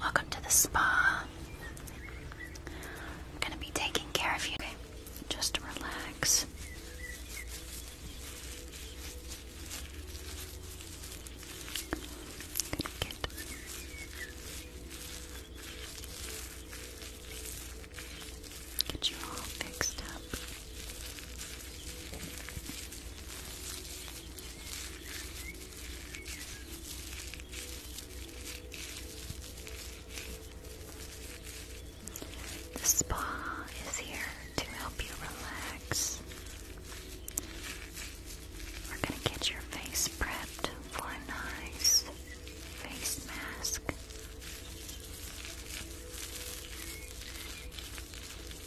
Welcome to the spa. I'm gonna be taking care of you. Just relax. Get you all fixed up. The spa is here to help you relax. We're going to get your face prepped for a nice face mask. Get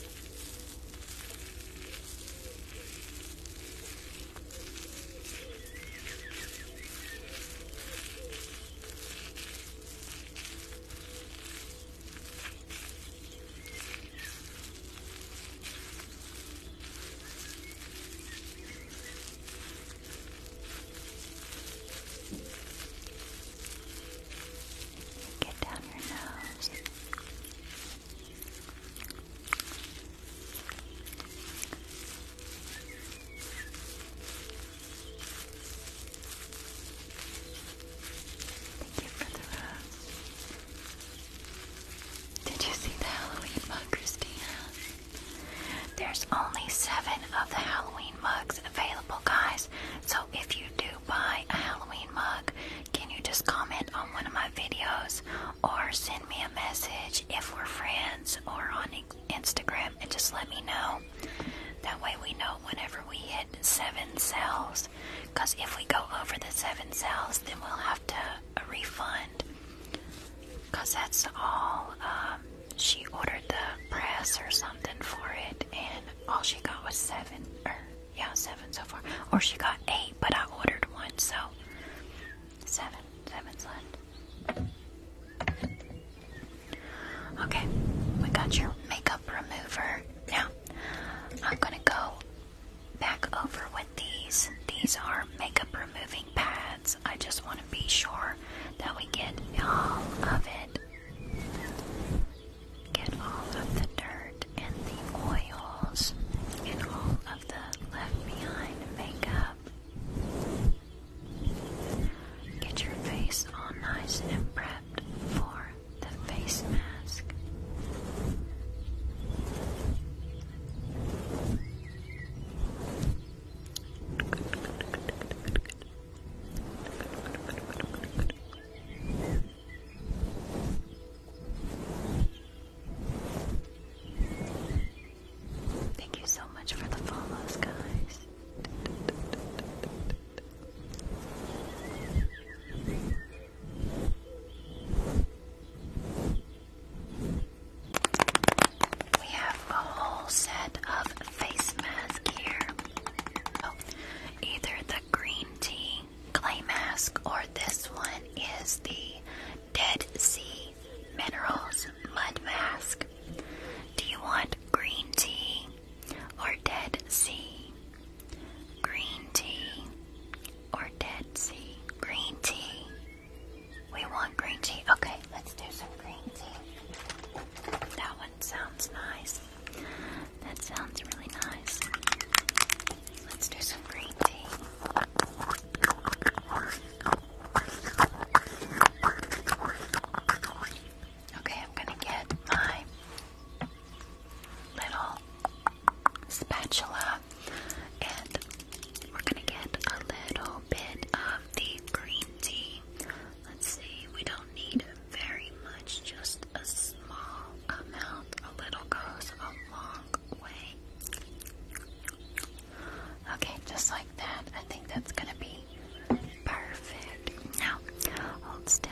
down your nose. Thank you for Did you see the Halloween mug, Christina? There's only seven of the Halloween mugs available, guys. So if you do buy a Halloween mug, can you just comment on one of my videos or send me a message if we're friends or on Instagram and just let me know. That way we know whenever we hit seven cells. Because if we go over the seven cells, then we'll have to uh, refund. Because that's all. Um, she ordered the press or something for it, and all she got was seven. Er, yeah, seven so far. Or she got eight, but I ordered one, so seven. Seven's left. Okay, we got your makeup remover. Now, I'm gonna go back over with these. These are makeup removing pads. I just want to be sure that we get all of it. Get all of the dirt and the oils and all of the left behind makeup. Get your face all nice and prepped for the face mask. Thank you so much for the follows, guys. We have a whole set of face masks here. Oh, either the green tea clay mask, or this one is the Dead Sea Minerals Mud Mask. Do you want green tea or Dead Sea? Green tea or Dead Sea? Green tea. We want green tea. Okay, let's do some green tea. That one sounds nice. That sounds really nice. Let's do some green tea. Okay, I'm gonna get my little spatula and we're gonna get a little bit of the green tea let's see, we don't need very much, just a small amount. A little goes a long way. Okay, just like that. I think that's gonna be perfect. Now, hold still.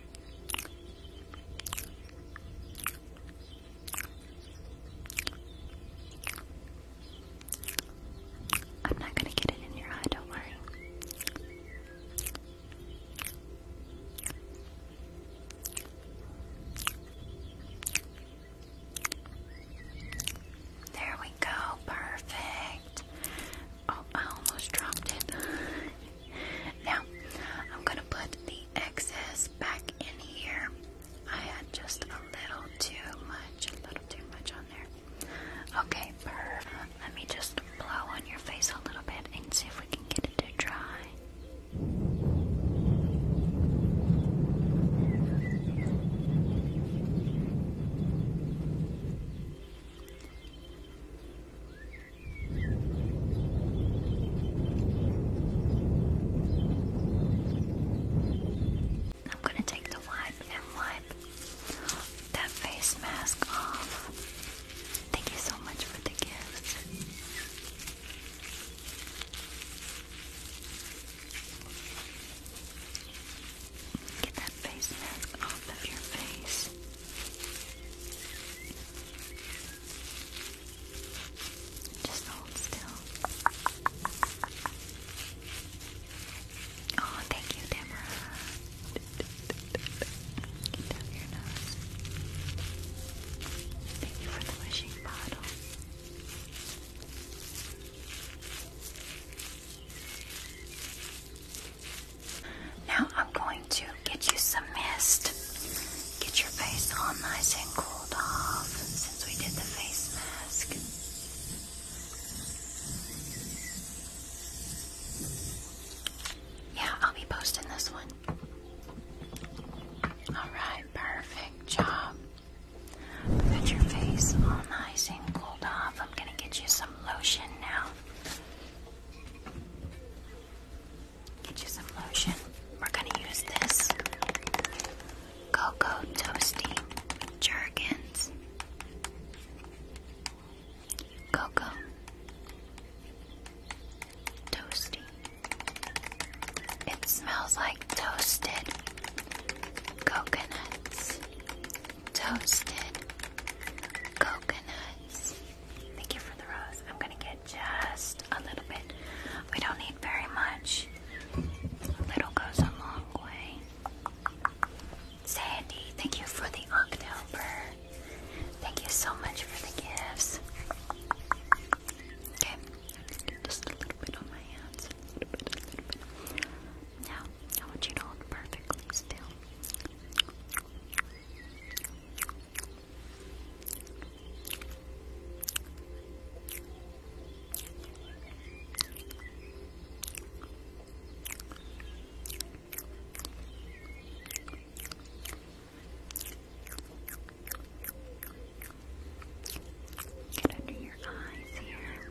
I'm not going to get it in your eye, don't worry. There we go, perfect. Oh, I almost dropped it. now, I'm gonna put the excess back in here. I had just a little too much, a little too much on there. Okay, perfect. Let me just blow on your face a little bit and see if we can get it to dry. I'm gonna take the wipe and wipe that face mask off. Thank you so much for the gifts. Get that face mask off of your face. Just hold still. Oh, thank you, Deborah. Get down your nose. Thank you for the wishing bottle. Now I'm going to get you some mist. Get your face all nice and cooled off since we did the face mask. Yeah, I'll be posting this one. Alright, perfect job. Put your face all nice and cooled off. I'm going to get you some some lotion now. Get you some lotion. We're gonna use this Cocoa Toasty Jergens. Cocoa Toasty. It smells like toasted coconuts toasted coconuts. Thank you for the rose. I'm gonna get just a little bit. We don't need very much. A little goes a long way. Sandy, thank you for the October. Thank you so much for the gifts. Okay, just a little bit on my hands. Now, I want you to hold perfectly still. under your eyes here.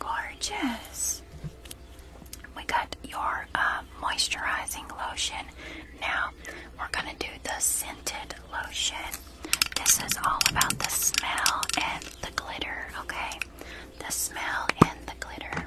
Gorgeous. We got your um moisturizing lotion. Now we're gonna do the scented lotion. This is all about the smell and the glitter, okay? The smell and the glitter.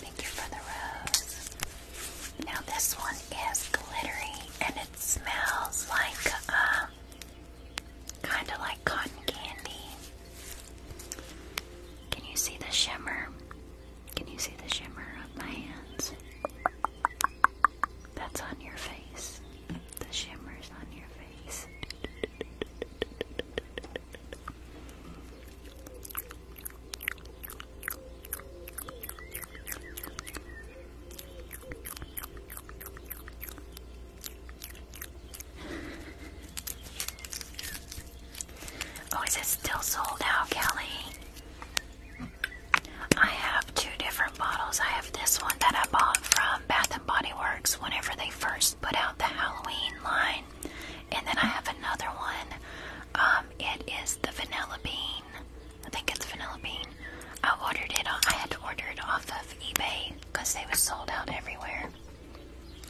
Thank you for the rose. Now this one is glittery and it smells like um kind of like cotton candy. Can you see the shimmer? Can you see the shimmer on my hands? That's on your face. The shimmer's on your face. Oh, is it still sold out, Kelly? I have two different bottles. I have this one that I bought from Bath and Body Works whenever they first put out the Halloween line. And then I have another one. Um, it is the vanilla bean. I think it's vanilla bean. I ordered it. I had to order it off of eBay because they were sold out everywhere.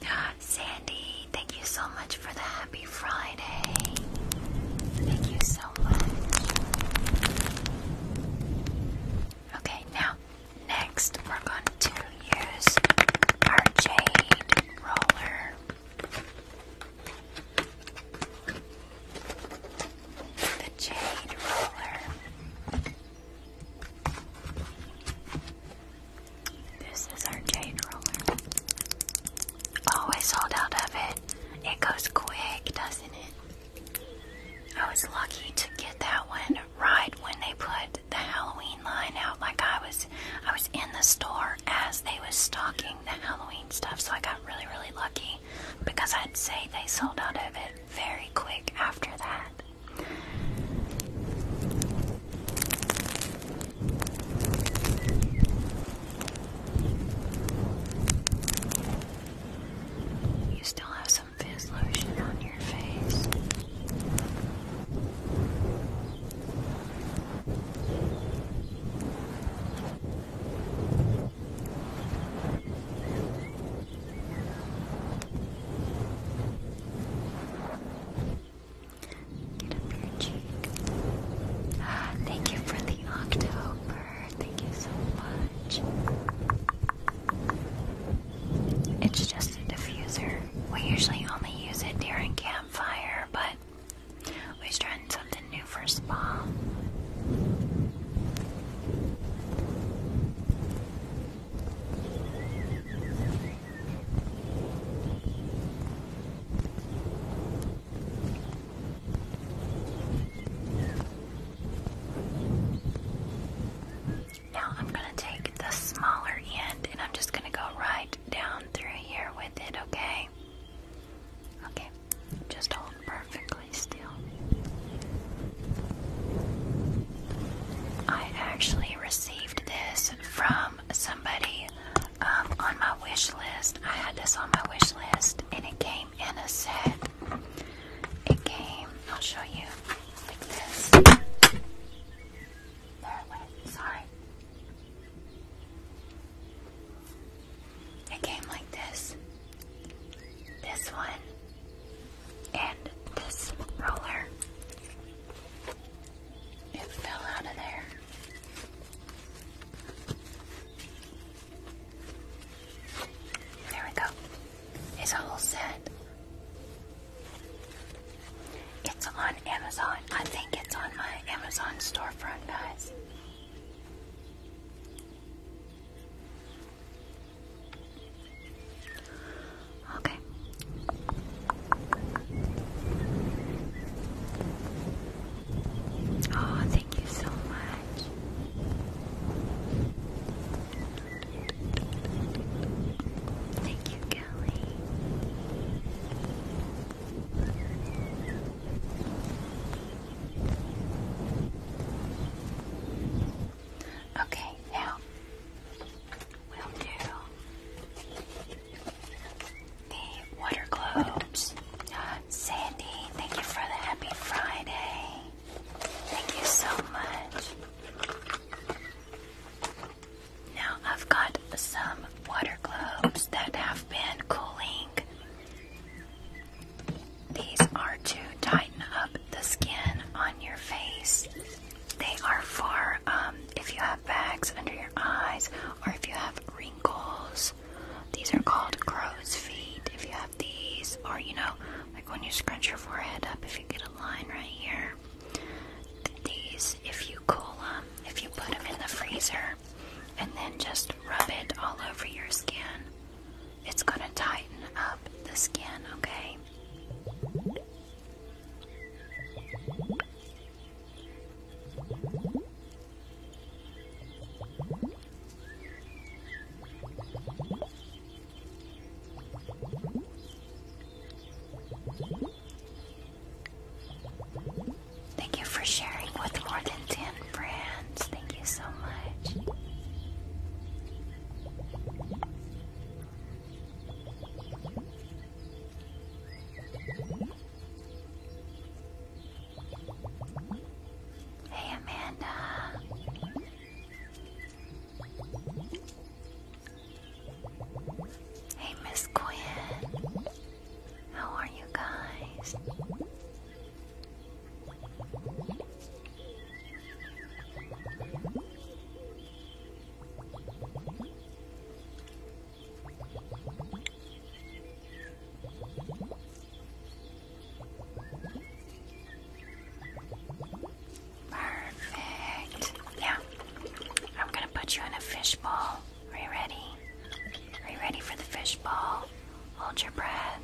Ah, Sandy, thank you so much for the happy Friday. Thank you so much. Okay, now Next, we're going to use our jade roller. The jade roller. This is our jade roller. Always oh, hold out of it. It goes quick, doesn't it? I was lucky to get that one right when they put the Halloween line out. Like I was, I was in the store as they was stocking the Halloween stuff, so I got really, really lucky because I'd say they sold out of it very quick after that. You still have some some fizz lotion on your face. Get up your cheek. Ah, thank you for the october. Thank you so much. It's just a diffuser. We usually only use it during campfire, but we're trying something new for spa. Now I'm going to take the smaller end and I'm just going to go right down through here with it, okay? Okay, just hold perfectly still. I actually received this from somebody um, on my wish list. I had this on my wish list and it came in a set. It came, I'll show you, like this. There it sorry. It came like this. This one. And this roller. It fell out of there. There we go. It's a set. It's on Amazon. I think it's on my Amazon storefront, guys. Okay. Oh, Thank you so much. Thank you, Kelly. Okay, now we'll do the water globes. Uh, Sandy, thank you for the happy Friday. Thank you so much. Now I've got some water globes that have been cooling. These are to tighten up the skin on your face. They are for um, if you have bags under your eyes or if you have wrinkles these. are called crow's feet. If you have these, or you know, like when you scrunch your forehead up, if you get a line right here, these, if you cool them, if you put them in the freezer, and then just rub it all over your skin, it's gonna tighten up the skin, okay? Thank you for sharing with more than 10 friends. Thank you so much. Hey, Amanda. Hey, Miss Quinn. How are you guys? Perfect. Yeah. I'm gonna put you in a fishbowl. Are you ready? Are you ready for the fishbowl? Hold your breath.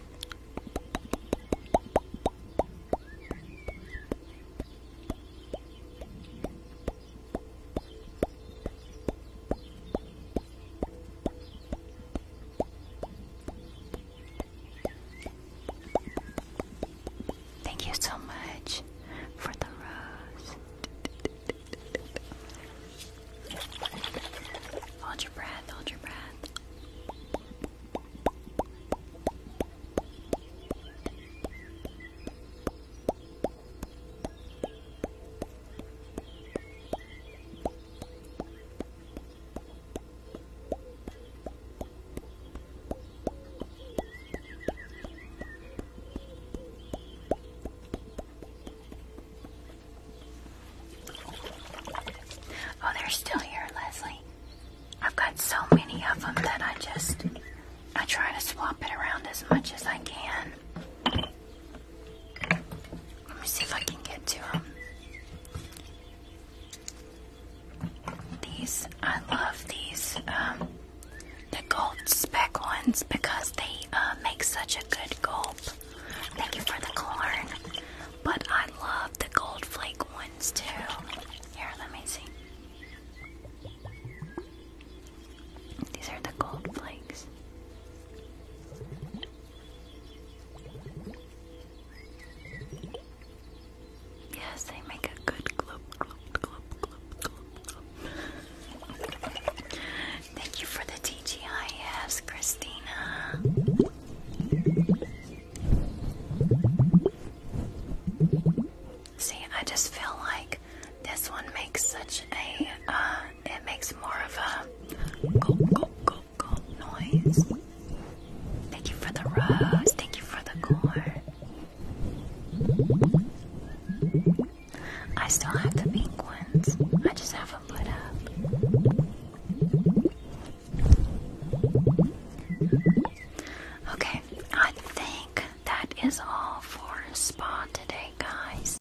Thank you so much for the rose. Hold your breath, hold your breath. Oh, they're still here, Leslie. I've got so many of them that I just I try to swap it around as much as I can. Let me see if I can get to um, These, I love these, um, the gold speck ones because they uh, make such a good gulp. Thank you for the corn. But I love the gold flake ones too. Here, let me see. These are the gold flakes. Yes, they make a good glub, Thank you for the TGIFs, Christina. See, I just feel like this one makes such a uh, it makes more of a go go go go noise. Thank you for the rose. Thank you for the core. I still have the pink ones. I just haven't put up. Okay, I think that is all for spa today, guys.